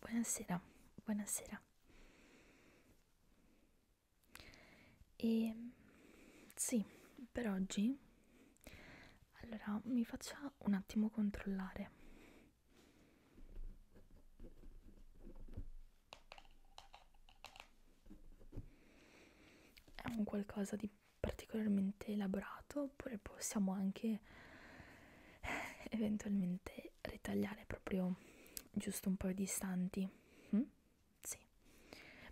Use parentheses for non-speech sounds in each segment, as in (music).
Buonasera, buonasera. E ehm, sì, per oggi allora mi faccia un attimo controllare è un qualcosa di particolarmente elaborato oppure possiamo anche eh, eventualmente ritagliare proprio giusto un paio di istanti mm? sì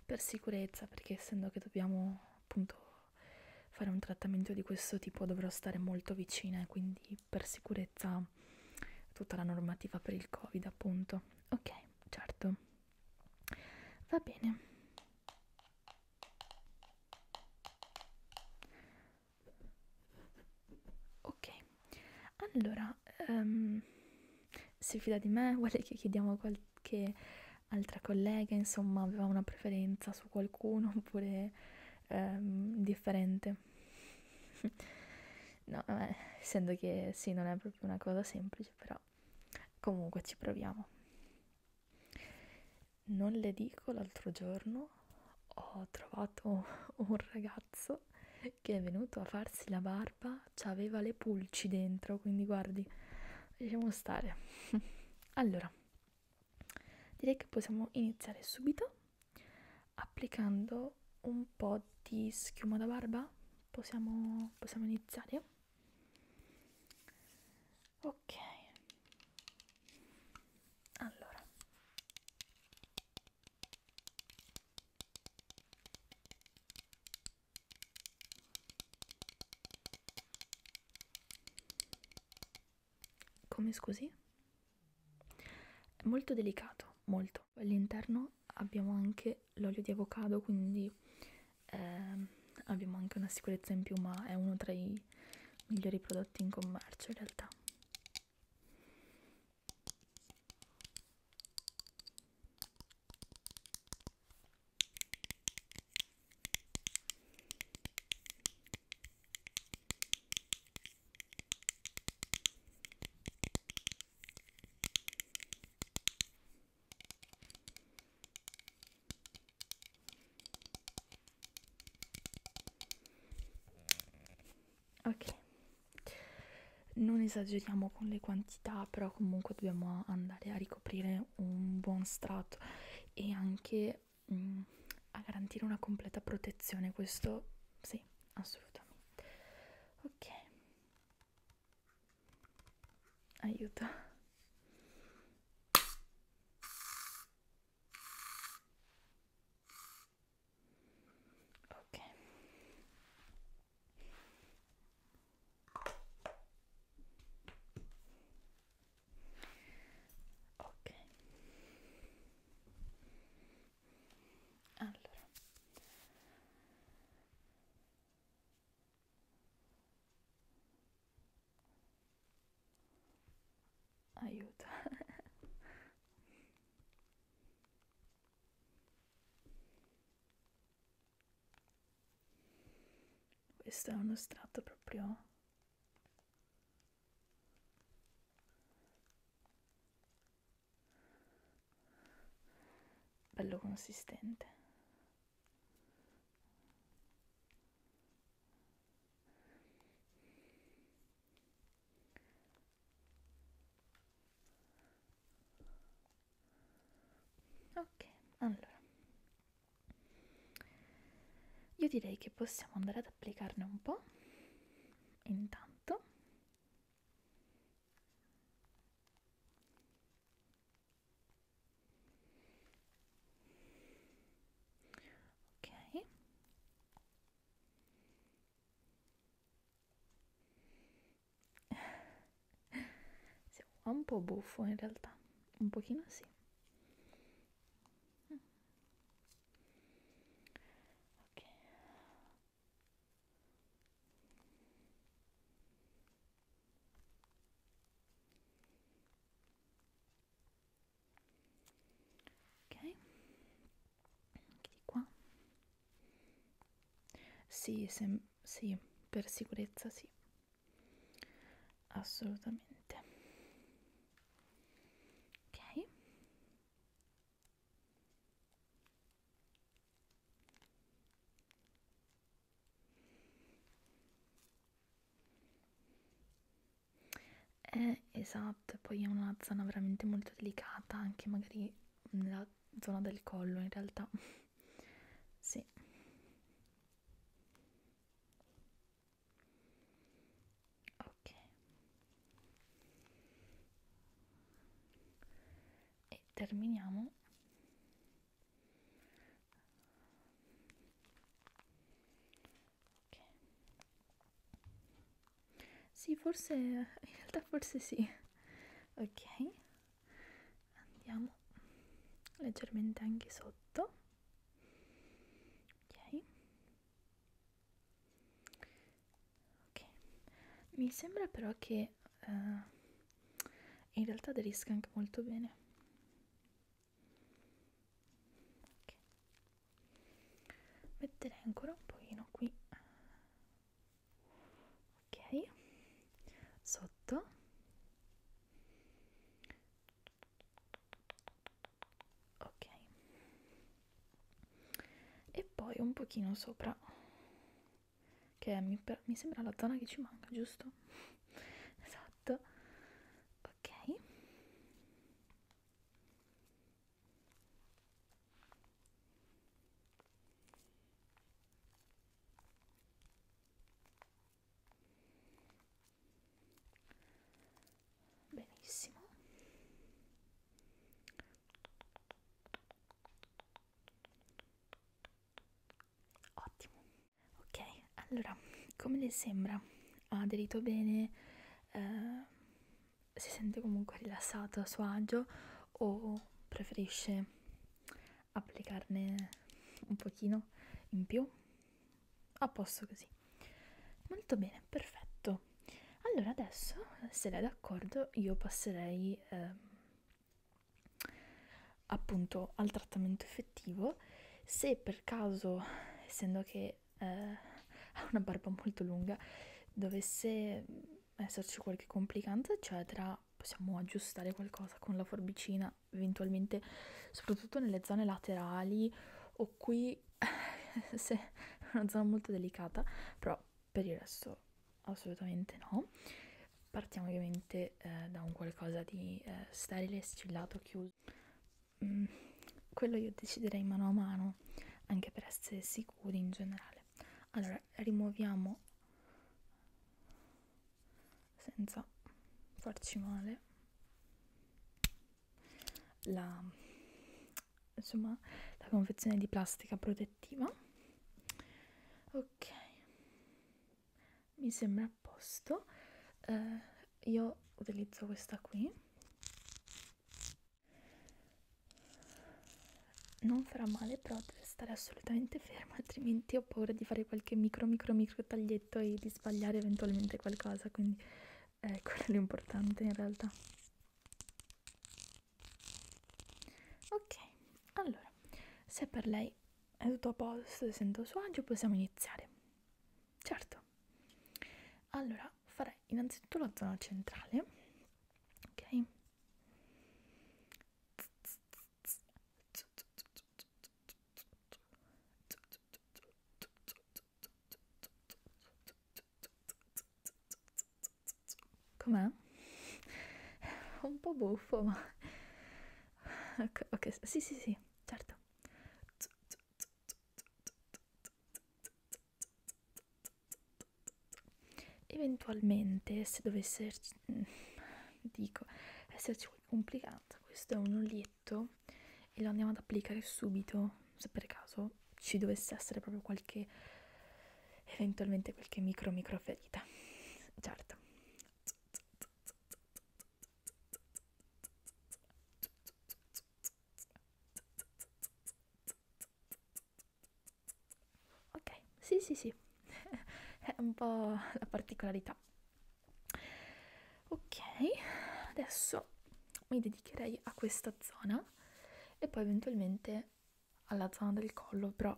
per sicurezza perché essendo che dobbiamo appunto fare un trattamento di questo tipo dovrò stare molto vicina e quindi per sicurezza tutta la normativa per il covid appunto ok certo va bene ok allora um, si fida di me vuole che chiediamo a qualche altra collega insomma aveva una preferenza su qualcuno oppure um, ehm, differente (laughs) no vabbè, essendo che sì non è proprio una cosa semplice però Comunque ci proviamo. Non le dico, l'altro giorno ho trovato un ragazzo che è venuto a farsi la barba, aveva le pulci dentro, quindi guardi, lasciamo stare. (laughs) allora, direi che possiamo iniziare subito applicando un po' di schiuma da barba. Possiamo, possiamo iniziare? ok allora come scusi? È molto delicato, molto. All'interno prima abbiamo anche l'olio di avocado quindi eh, abbiamo anche una sicurezza in più ma è uno tra i migliori prodotti in commercio in realtà ok non esageriamo con le quantità però comunque dobbiamo andare a ricoprire un buon strato e anche mh, mm, a garantire una completa protezione questo sì assolutamente ok aiuto ok ok allora aiuto (laughs) questo è uno strato proprio bello consistente ok allora io direi che possiamo andare ad applicarne un po' intanto ok sì, un po' buffo in realtà un pochino sì ok ok anche di qua sì, sem sì per sicurezza sì assolutamente ok eh, esatto, poi è una zona veramente molto delicata, anche magari nella zona del collo in realtà. (laughs) sì. Ok. E terminiamo ok sì forse in realtà forse sì ok andiamo leggermente anche sotto ok ok mi sembra però che eh, in realtà aderisca anche molto bene okay. metterei ancora un pochino qui ok sotto ok e poi un pochino sopra che mi, mi sembra la zona che ci manca, giusto? esatto. Ok. Benissimo. Ottimo. Ok, allora, come le sembra? Ha aderito bene? Eh, si sente comunque rilassato a suo agio o preferisce applicarne un pochino in più? A posto così. Molto bene, perfetto. Allora adesso, se lei è d'accordo, io passerei eh, appunto al trattamento effettivo se per caso essendo che eh, (laughs) ha una barba molto lunga dovesse esserci qualche complicanza eccetera possiamo aggiustare qualcosa con la forbicina eventualmente soprattutto nelle zone laterali o qui (laughs) se è una zona molto delicata però per il resto assolutamente no. Partiamo ovviamente eh, da un qualcosa di eh, sterile, sigillato, chiuso. Mm, quello io deciderei mano a mano, anche per essere sicuri in generale. Allora, rimuoviamo senza farci male la, insomma, la confezione di plastica protettiva. Ok mi sembra a posto eh, io utilizzo questa qui non farà male però deve stare assolutamente ferma (laughs) altrimenti ho paura di fare qualche micro micro micro taglietto e di sbagliare eventualmente qualcosa quindi eh, (laughs) quello è l'importante in realtà ok allora se per lei è tutto a posto, sento a suo agio, possiamo iniziare. Certo. Allora, farei innanzitutto la zona centrale, ok? Com'è? Un po' buffo, ma ok, sì, sì, sì, certo. Eventualmente, se dovesse mm, dico, esserci complicato, questo è un olietto e lo andiamo ad applicare subito, se per caso ci dovesse essere proprio qualche eventualmente qualche micro micro ferita certo Ok, sì, sì, sì, (laughs) è un po' la particolarità. Ok, adesso mi dedicherei a questa zona e poi eventualmente alla zona del collo, però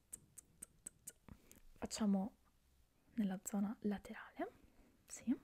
facciamo nella zona laterale, sì.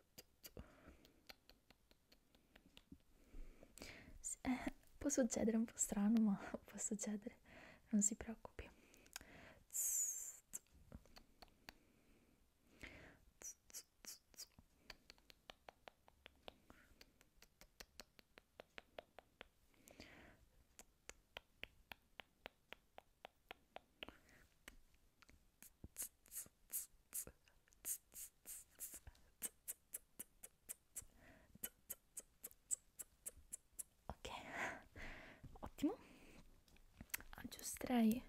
Eh, può succedere un po' strano, ma (laughs) può succedere, non si preoccupi. Ok, ottimo. Aggiusterei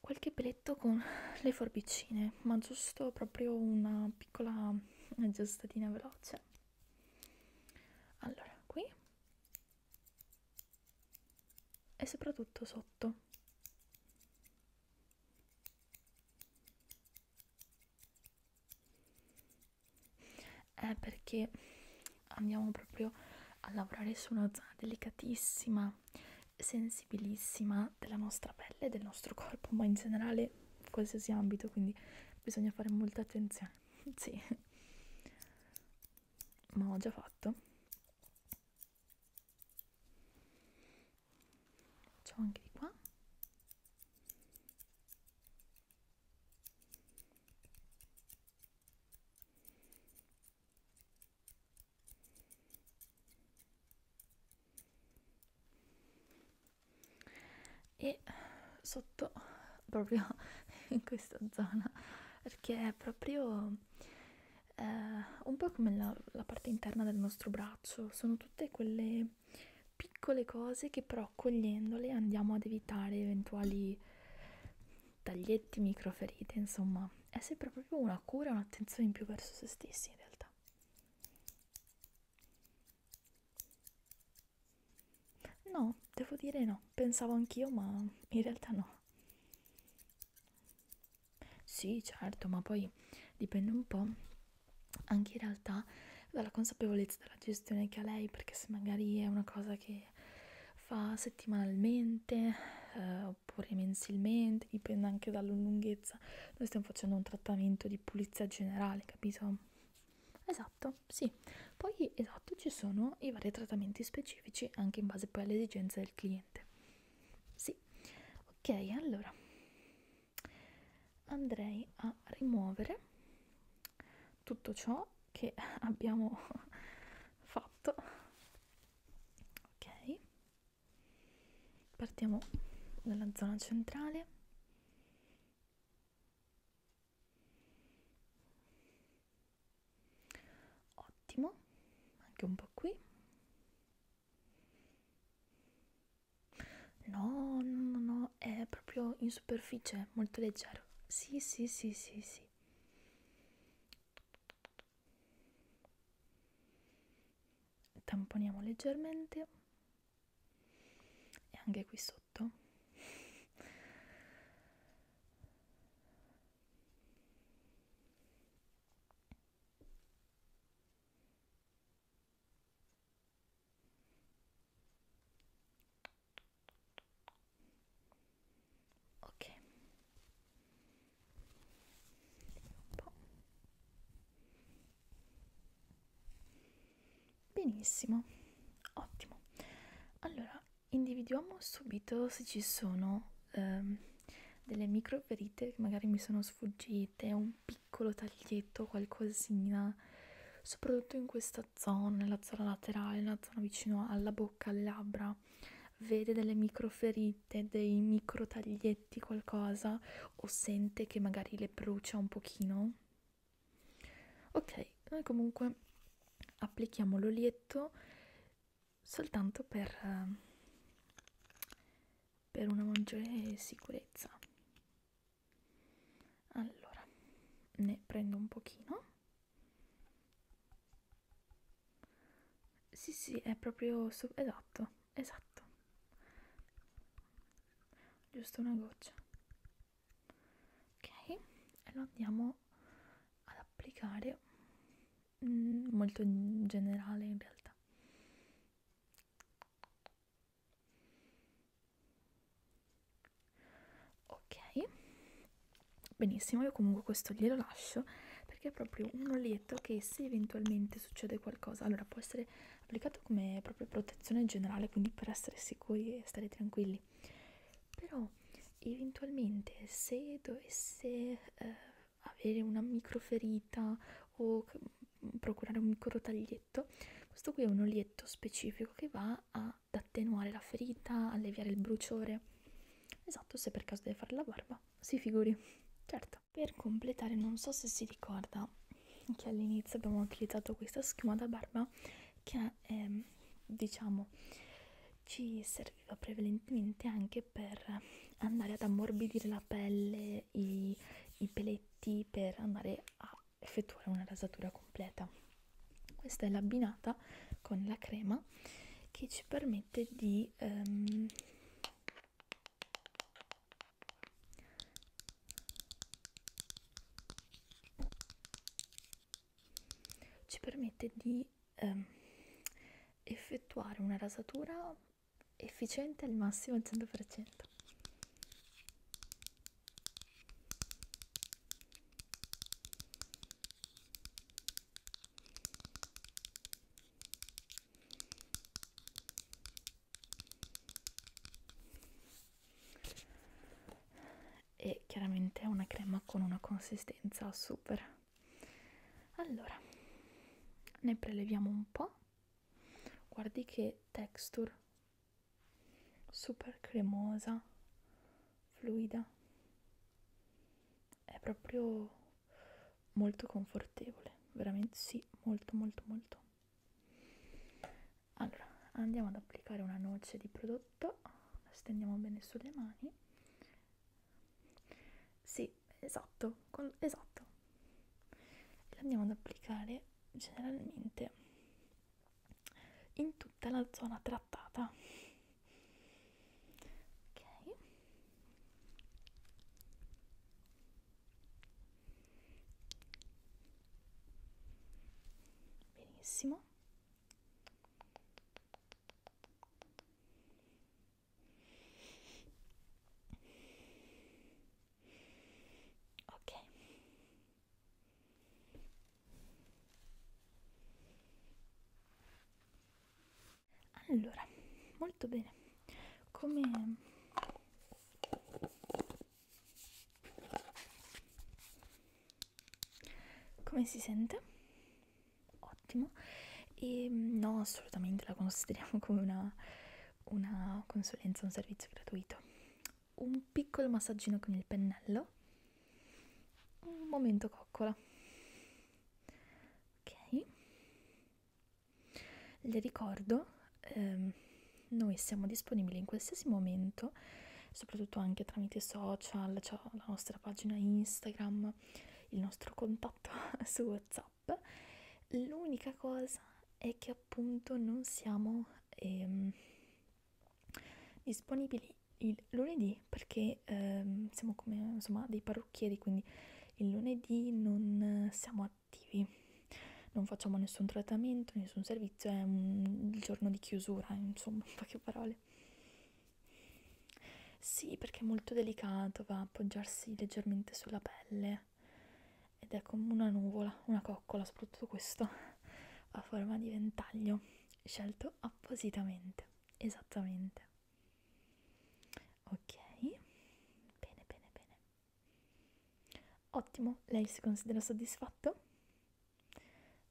qualche peletto con le forbicine, ma giusto proprio una piccola aggiustatina veloce. Allora, qui e soprattutto sotto. È perché andiamo proprio a lavorare su una zona delicatissima, sensibilissima della nostra pelle, del nostro corpo, ma in generale qualsiasi ambito, quindi bisogna fare molta attenzione. (laughs) sì. Ma ho già fatto c'ho anche di qua e sotto proprio (laughs) in questa zona perché è proprio eh, un po' come la, la parte interna del nostro braccio, sono tutte quelle piccole cose che però cogliendole andiamo ad evitare eventuali taglietti, microferite, insomma è sempre proprio una cura, un'attenzione in più verso se stessi in realtà. No, devo dire no, pensavo anch'io, ma in realtà no. Sì, certo, ma poi dipende un po' anche in realtà dalla consapevolezza della gestione che ha lei, perché se magari è una cosa che fa settimanalmente eh, oppure mensilmente, dipende anche dalla lunghezza. Noi stiamo facendo un trattamento di pulizia generale, capito? Esatto, sì. Poi esatto, ci sono i vari trattamenti specifici anche in base poi alle esigenze del cliente sì ok allora andrei a rimuovere tutto ciò che (laughs) abbiamo (laughs) fatto ok partiamo dalla zona centrale ottimo anche un po' qui no no no è proprio in superficie molto leggero sì sì sì sì sì tamponiamo leggermente e anche qui sotto Ok. Un po'. Benissimo. Ottimo. Allora, individuiamo subito se ci sono um, delle micro verite che magari mi sono sfuggite, un piccolo taglietto, qualcosina, soprattutto in questa zona, nella zona laterale, nella zona vicino alla bocca, alle labbra. Vede delle micro ferite, dei micro taglietti, qualcosa, o sente che magari le brucia un pochino. Ok, noi comunque applichiamo l'olietto soltanto per, ehm, per una maggiore sicurezza. Allora, ne prendo un pochino. Sì, sì, è proprio... esatto, esatto. Giusto una goccia. Ok, e lo andiamo ad applicare Mm, molto generale in realtà ok benissimo io comunque questo glielo lascio perché è proprio un oletto che se eventualmente succede qualcosa allora può essere applicato come proprio protezione generale quindi per essere sicuri e stare tranquilli però eventualmente se dovesse eh, avere una microferita o mm, procurare un micro taglietto. Questo qui è un olietto specifico che va ad attenuare la ferita, alleviare il bruciore. Esatto, se per caso deve fare la barba, si figuri. Certo. Per completare, non so se si ricorda che all'inizio abbiamo utilizzato questa schiuma da barba che è, ehm, diciamo ci, ser serviva prevalentemente anche per andare ad ammorbidire la pelle, i, i peletti, per andare a effettuare una rasatura completa. Questa è l'abbinata con la crema che ci permette di um, ci permette di ehm, effettuare una rasatura efficiente al massimo al 100%. E chiaramente è una crema con una consistenza super allora ne preleviamo un po' guardi che texture super cremosa fluida è proprio molto confortevole veramente sì molto molto molto allora andiamo ad applicare una noce di prodotto la stendiamo bene sulle mani sì sì, esatto, con, esatto. E lo andiamo ad applicare generalmente in tutta la zona trattata. Ok. Benissimo. Ok. Allora, molto bene. Come Come si sente? ottimo e ehm, no assolutamente la consideriamo come una, una consulenza, un servizio gratuito. Un piccolo massaggino con il pennello, un momento coccola. Ok, le ricordo, ehm, noi siamo disponibili in qualsiasi momento, soprattutto anche tramite social, cioè la nostra pagina Instagram, il nostro contatto app (laughs) su whatsapp l'unica cosa è che appunto non siamo ehm, disponibili il lunedì perché ehm, siamo come insomma dei parrucchieri quindi il lunedì non siamo attivi non facciamo nessun trattamento nessun servizio è un, il giorno di chiusura insomma in poche parole sì, perché è molto delicato, va a appoggiarsi leggermente sulla pelle ed è come una nuvola, una coccola, soprattutto questo (laughs) a forma di ventaglio, scelto appositamente, esattamente. Ok, bene, bene, bene. Ottimo, lei si considera soddisfatto?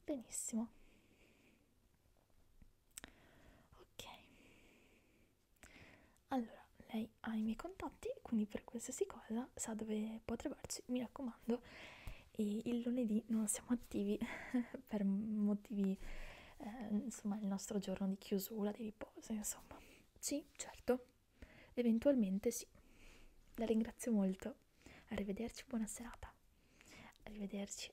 Benissimo. Ok, allora, lei ha i miei contatti, quindi per qualsiasi cosa sa dove può trovarci, mi raccomando. E il lunedì non siamo attivi (laughs) per motivi, eh, insomma, il nostro giorno di chiusura, di riposo, insomma. Sì, certo, eventualmente sì. La ringrazio molto. Arrivederci, buona serata. Arrivederci.